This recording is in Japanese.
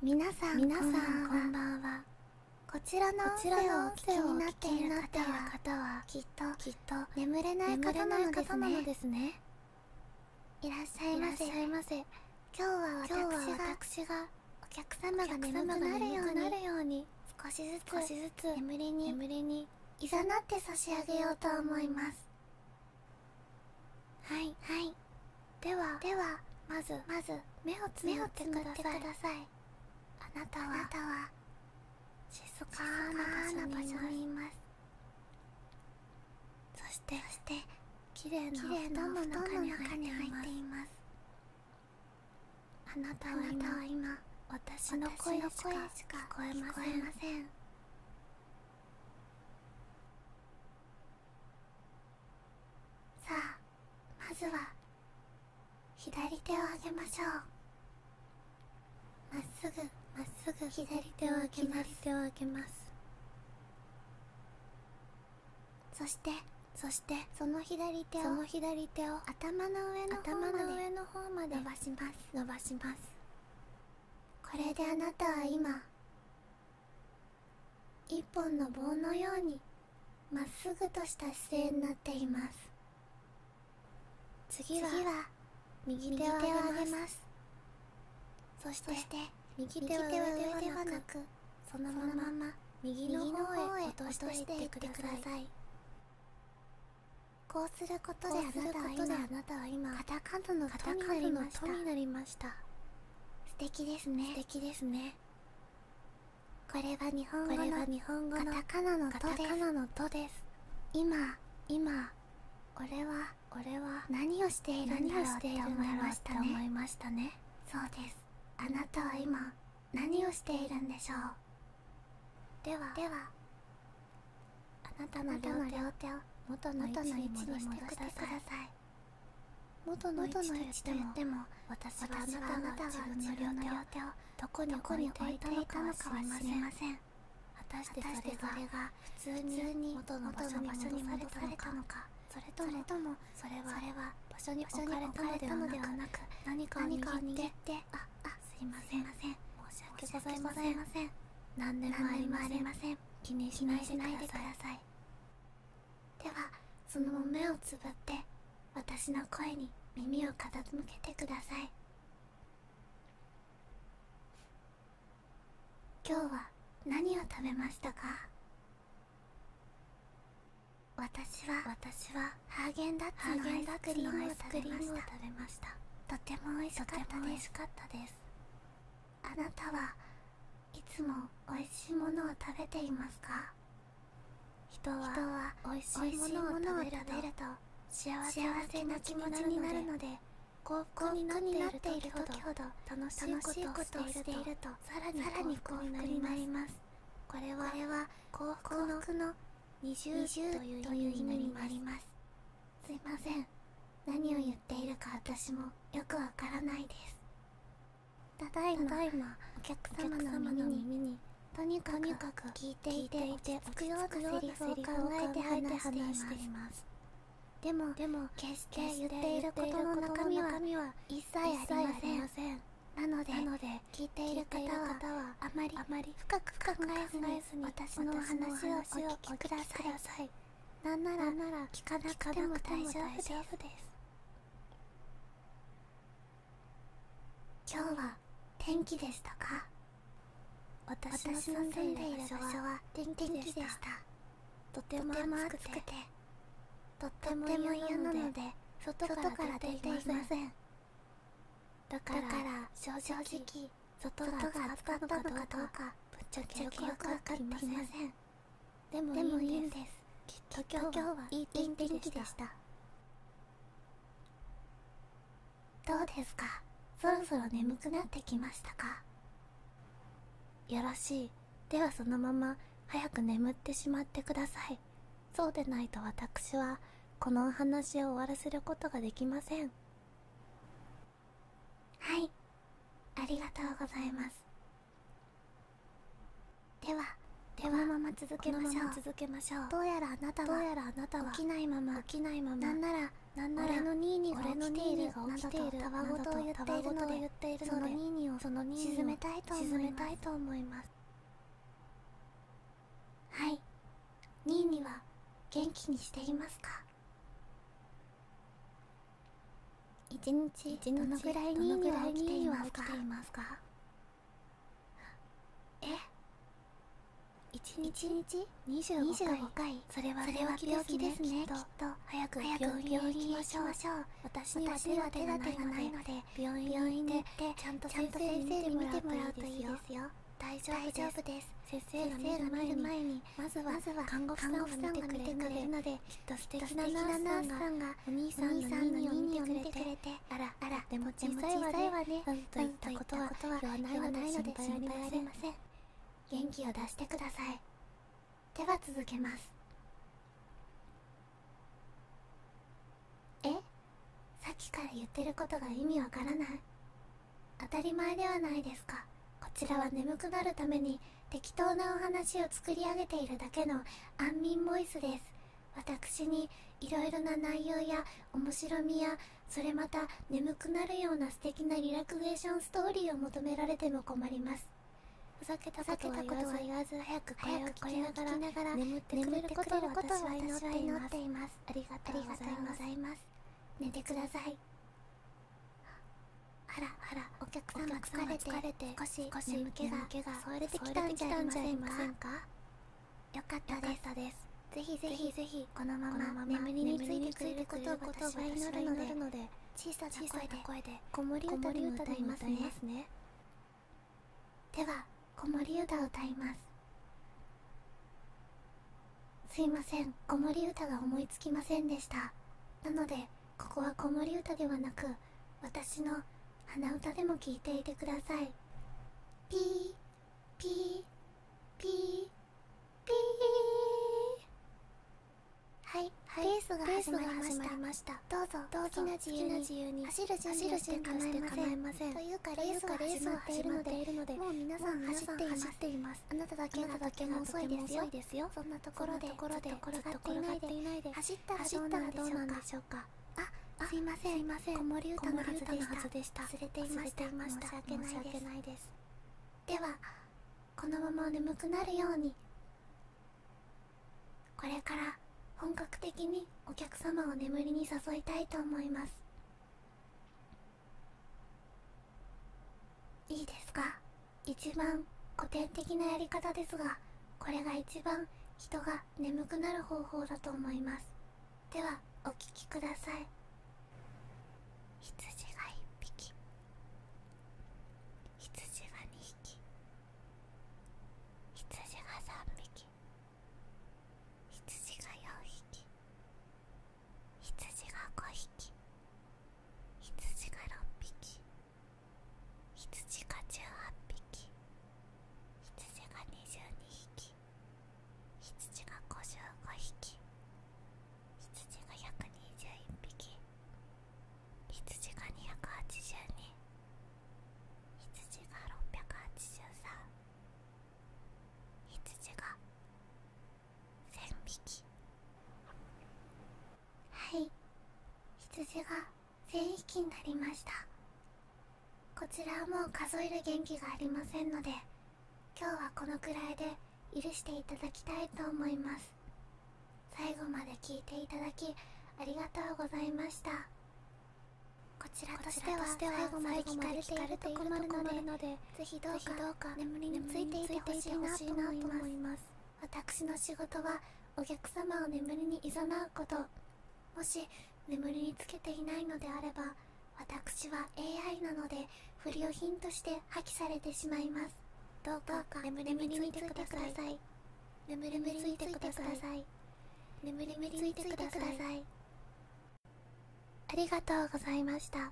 皆さん皆さんこんばんはこちらの音声をお聞きになっている方はきっときっと眠れない方なのですねいらっしゃいませ今日は私がお客様が眠くなるように少しずつ眠りにいざなって差し上げようと思いますはいはいではではまずまず目をつぶってくださいあなたはあなたは静かな場所にいますそしてそして綺麗な布団の中に入っていますあなたは今私の声しか聞こえませんさあまずは左手を上げましょうまっすぐまっすぐ左手を上げます手を上げますそしてそしてその左手をその左手を頭の上の頭の上の方まで伸ばします伸ばしますこれであなたは今一本の棒のようにまっすぐとした姿勢になっています次は右手を上げますそして右手は上ではなくそのまま右の方へ落としていてくださいこうすることであなたは今肩カタカナの「下になりました素敵ですね素敵ですねこれは日本語のカタカナの「と」です今今俺は俺は何をしているんだろうっ思いましたね思いましたねそうですあなたは今何をしているんでしょうではではあなたの両手を元の位置に戻してください元の位置と言っても私はあなたの自分の両手をどこに置いていたのかは知りません果たしてそれが普通に元の場所にまでされたのかそれともそれは場所にまでかれたのではなく何かを握ってああすいません申し訳ございません何でもありません気にしないでくださいではそのま目をつぶって私の声に耳を傾けてください今日は何を食べましたか私は私はハーゲンダッツのアイスクリームを食べましたとても美味しかったですあなたはいつもおいしいものを食べていますか人はおいしいものを食べると幸せな気持ちになるので幸福になっている時ほど楽しいことをしているとさらに幸福になりますこれは幸福の20という意味にありますすいません何を言っているか私もよくわからないですただいまお客様の耳にとにかく聞いていて落ち着くようなセリフを考えて話していますでもでも決して言っていることの中身は一切ありませんなので聞いている方はあまり深く考えずに私の話をお聞きくださいなんなら聞かなくても大丈夫です今日は天気でしたか私の住んでいる場所は天気でしたとても暑くてとっても嫌なので外から出ていませんだから正直外が暑かったのかどうかぶっちゃけよくわかりませんでもいいんですきっと今日はいい天気でしたどうですかそろそろ眠くなってきましたかよろしいではそのまま早く眠ってしまってくださいそうでないと私はこのお話を終わらせることができませんはいありがとうございますではではまま続けましょうどうやらあなたはどうやらあなたは起きないまま起なんならなんなら俺のニーニーが起ているなどたわごとを言っているので言っているのでそのニーニーをそのニーニーを沈めたいと思います沈めたいと思いますはいニーニーは元気にしていますか一日どのぐらいには起きていますかえ一日二十五回それは病気ですねきっと早く病院に行きましょう私には手がないので病院でちゃんと先生に診てもらうといいですよ大丈夫です先生が見る前にまずは看護婦さんが見てくれるのできっと素敵なナースさんがお兄さんお兄の耳を見てくれてあらあらでも小さいわねうんといったことは言わないので心配ありません元気を出してくださいでは続けますえさっきから言ってることが意味わからない当たり前ではないですかこちらは眠くなるために適当なお話を作り上げているだけの安眠ボイスです私にいろな内容や面白みやそれまた眠くなるような素敵なリラクゼーションストーリーを求められても困りますふざけたことは言わず早くこれを聞ながら眠ってくること私は祈っていますありがとうございます寝てくださいあらあらお客様疲れて疲れて少し少しが添えれてきたんじゃありませんかよかったですぜひぜひぜひこのまま眠りについてくれることを私は祈るので小さな声で子守歌で歌いますねでは子守歌を歌いますすいません子守歌が思いつきませんでしたなのでここは子守歌ではなく私の鼻歌でも聞いていてくださいピーピーピーピーはいレースが始まりましたどうぞどうな自由に走る準備をして構えませんというかレースが始まっているのでもう皆さん走っていますあなただけのとて遅いですよそんなところでところでところがっていないで走っったらどうなんでしょうかあすいませんすいません子守歌のはずでした忘れていました申し訳ないですではこのまま眠くなるようにこれから本格的にお客様を眠りに誘いたいと思いますいいですか一番古典的なやり方ですがこれが一番人が眠くなる方法だと思いますではお聞きください羊が1匹羊が2匹羊が3匹羊が4匹羊が5匹羊が6匹羊が18匹羊が22匹羊が55匹羊が121匹羊が282羊が683羊が1000匹はい羊が全匹になりましたこちらはもう数える元気がありませんので今日はこのくらいで許していただきたいと思います最後まで聞いていただきありがとうございましたこちらとしては最後まで聞かれていると困るので是非どうかどうか眠りについていてほしいなと思います私の仕事はお客様を眠りにいざなうこともし眠りにつけていないのであれば私は AI なので不良品として破棄されてしまいますどうか眠りについてください眠りについてください眠りについてくださいありがとうございました